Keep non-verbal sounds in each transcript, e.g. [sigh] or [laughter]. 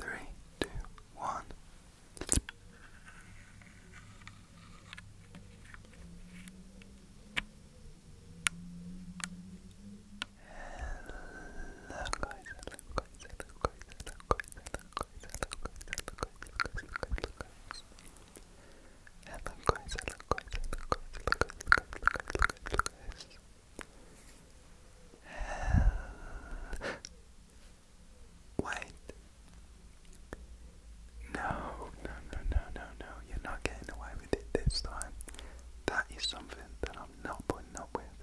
Three, two, one. Hello, guys. Hello, guys. Hello, guys. Hello, guys. Hello, guys. Hello, guys. Hello, guys. Hello, guys. Hello, guys. Hello, guys. Hello, guys. Hello, guys Wait. No, no, no, no, no, no. You're not getting away with it this time. That is something that I'm not putting up with.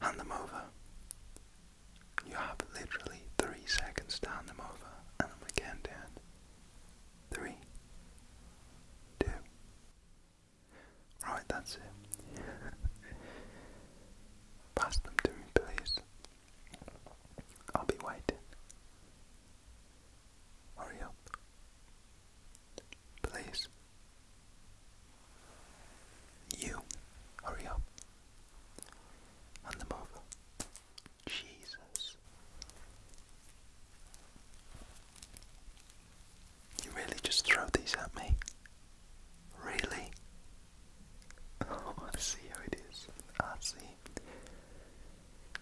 Hand them over. You have literally three seconds to hand them over, and I'm again down. Three, two, Right, that's it. Pass them to me, please. I'll be waiting. Hurry up. Please. You, hurry up. And the mother. Jesus. You really just throw these at me? Really? [laughs] Oh, I see how it is. I see.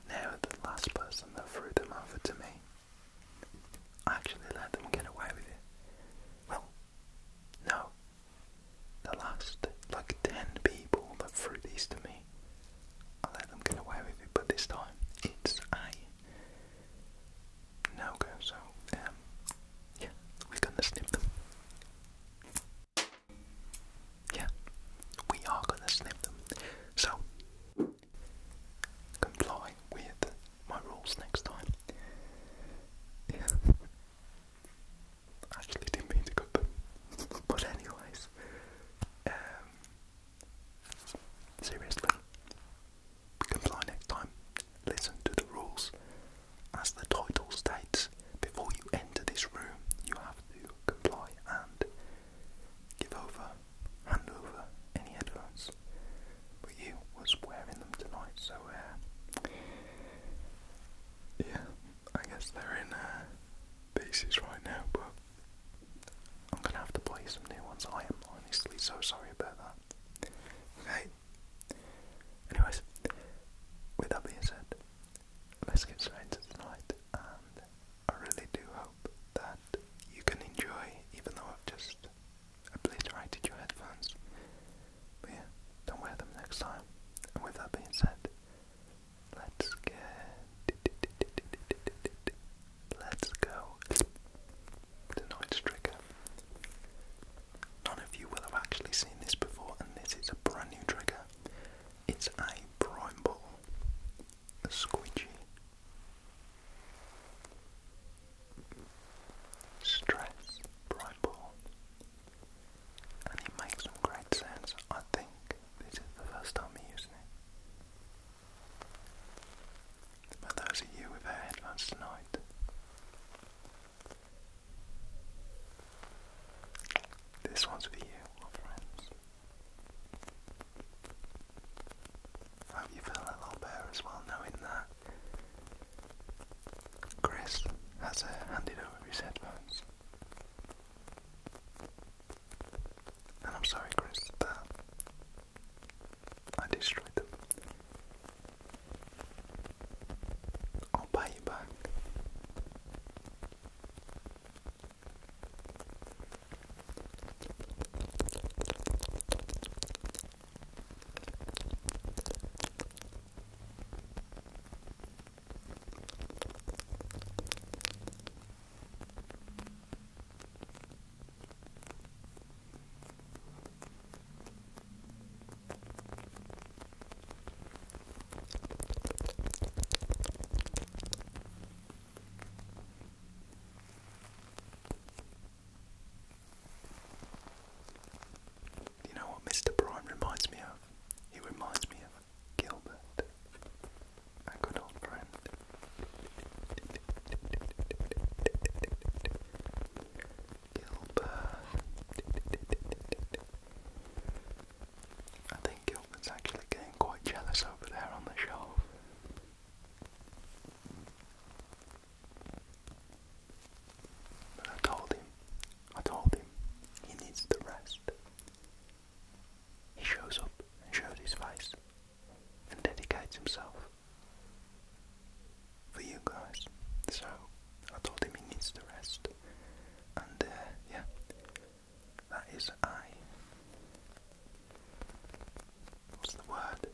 Now, the last person that threw them over to me, I actually let them get away with it. Well, no. The last, like, ten people that threw these to me, I let them get away with it, but this time it's I now go. So, um, yeah, we're gonna snip them. Yeah, we are gonna snip them. So, comply with my rules next time. Yeah. [laughs] Actually, didn't mean to cut them. [laughs] but anyways, um, seriously, can next time, listen to the rules. As the title states, before you enter this room, you have to comply and give over, hand over any headphones. But you was wearing them tonight, so uh, yeah, I guess they're in uh, pieces right now, but I'm gonna have to play some new ones. I am honestly so sorry about that. Okay, Anyways, with that being said, let's get straight into tonight, and I really do hope that you can enjoy, even though I've just obliterated your headphones. But yeah, don't wear them next time. And with that being said, let's get. Let's go tonight's trigger. None of you will have actually seen this before, and this is a brand new trigger. It's a prime ball, a squeegee, and it makes some great sounds. I think this is the first time I'm using it. But those are you with our headphones tonight. This one's for you, my friends. I you feel a lot better as well knowing that Chris has handed over his headphones. And I'm sorry, Chris, that I destroyed them. I'll buy you back. You know what Mr. Prime reminds me of? He reminds me of Gilbert, our good old friend. Gilbert. I think Gilbert's actually getting quite jealous over there on the shelf. But I told him, I told him, he needs the rest. He shows up and shows his face and dedicates himself for you guys. So I told him he needs to rest, and uh, yeah, that is I. What's the word?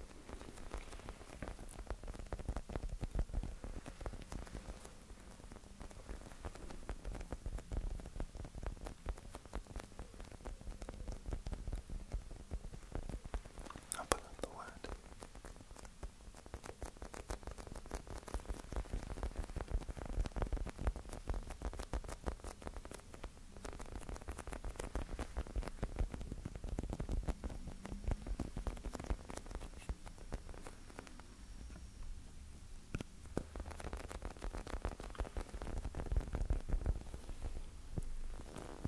I'll the word.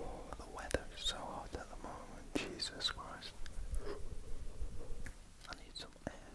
Oh, the weather is so hot at the moment, Jesus Christ. I need some air.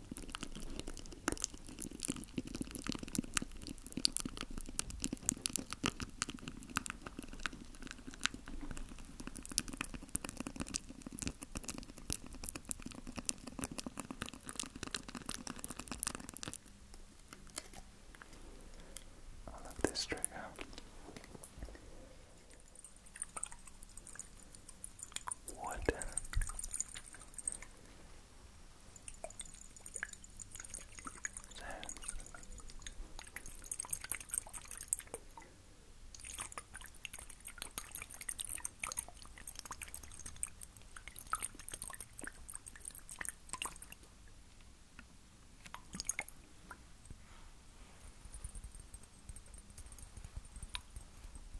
I love this trigger wooden. Sounds.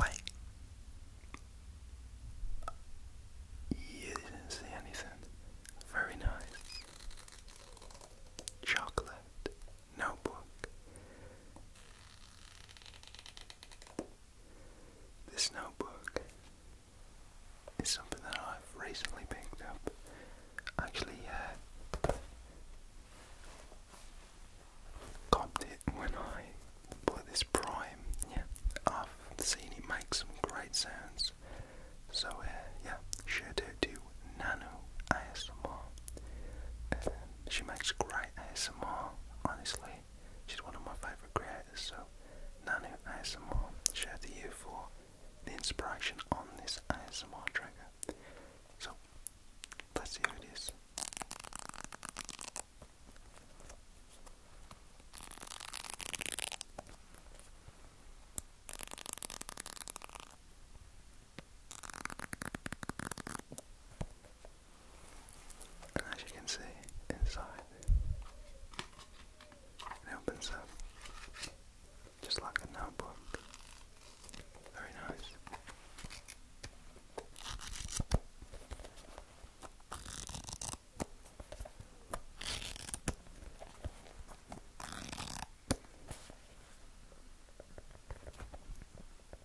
Wait. You didn't see anything. Very nice. Chocolate notebook. This notebook is something that I've recently picked up. Actually, uh, it when I bought this Prime. Yeah, I've seen it make some great sounds. So, uh, yeah, shout out to Nano ASMR. Uh, she makes great ASMR, honestly. She's one of my favourite creators, so Nanu ASMR, shout to you for the inspiration on this ASMR trigger. So, let's see who it is. And as you can see, inside it opens up just like a notebook. Very nice.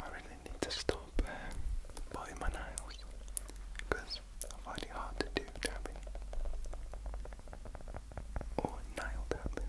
I really need to stop um, my nails because I find hard to do tapping or nail tapping.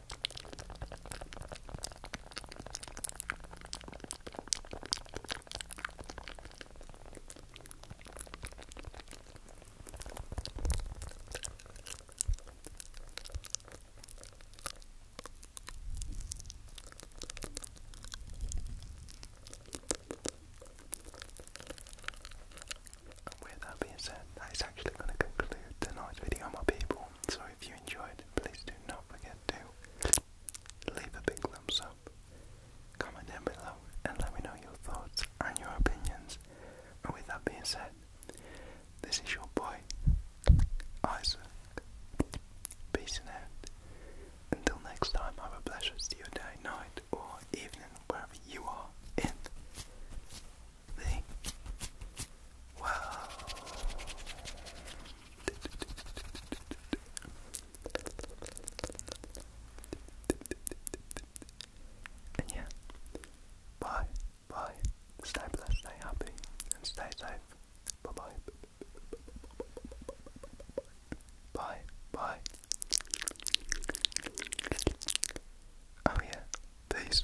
And with that being said, that is actually going to conclude tonight's video, my people. So if you enjoyed, please do not forget to leave a big thumbs up, comment down below, and let me know your thoughts and your opinions. And with that being said, this is your boy, Isaac. Peace and out. Until next time, have a blessed your day, night, or evening, wherever you are in the world. And yeah, bye, bye. Stay blessed, stay happy, and stay safe. Bye bye. Bye, bye. Oh yeah, peace.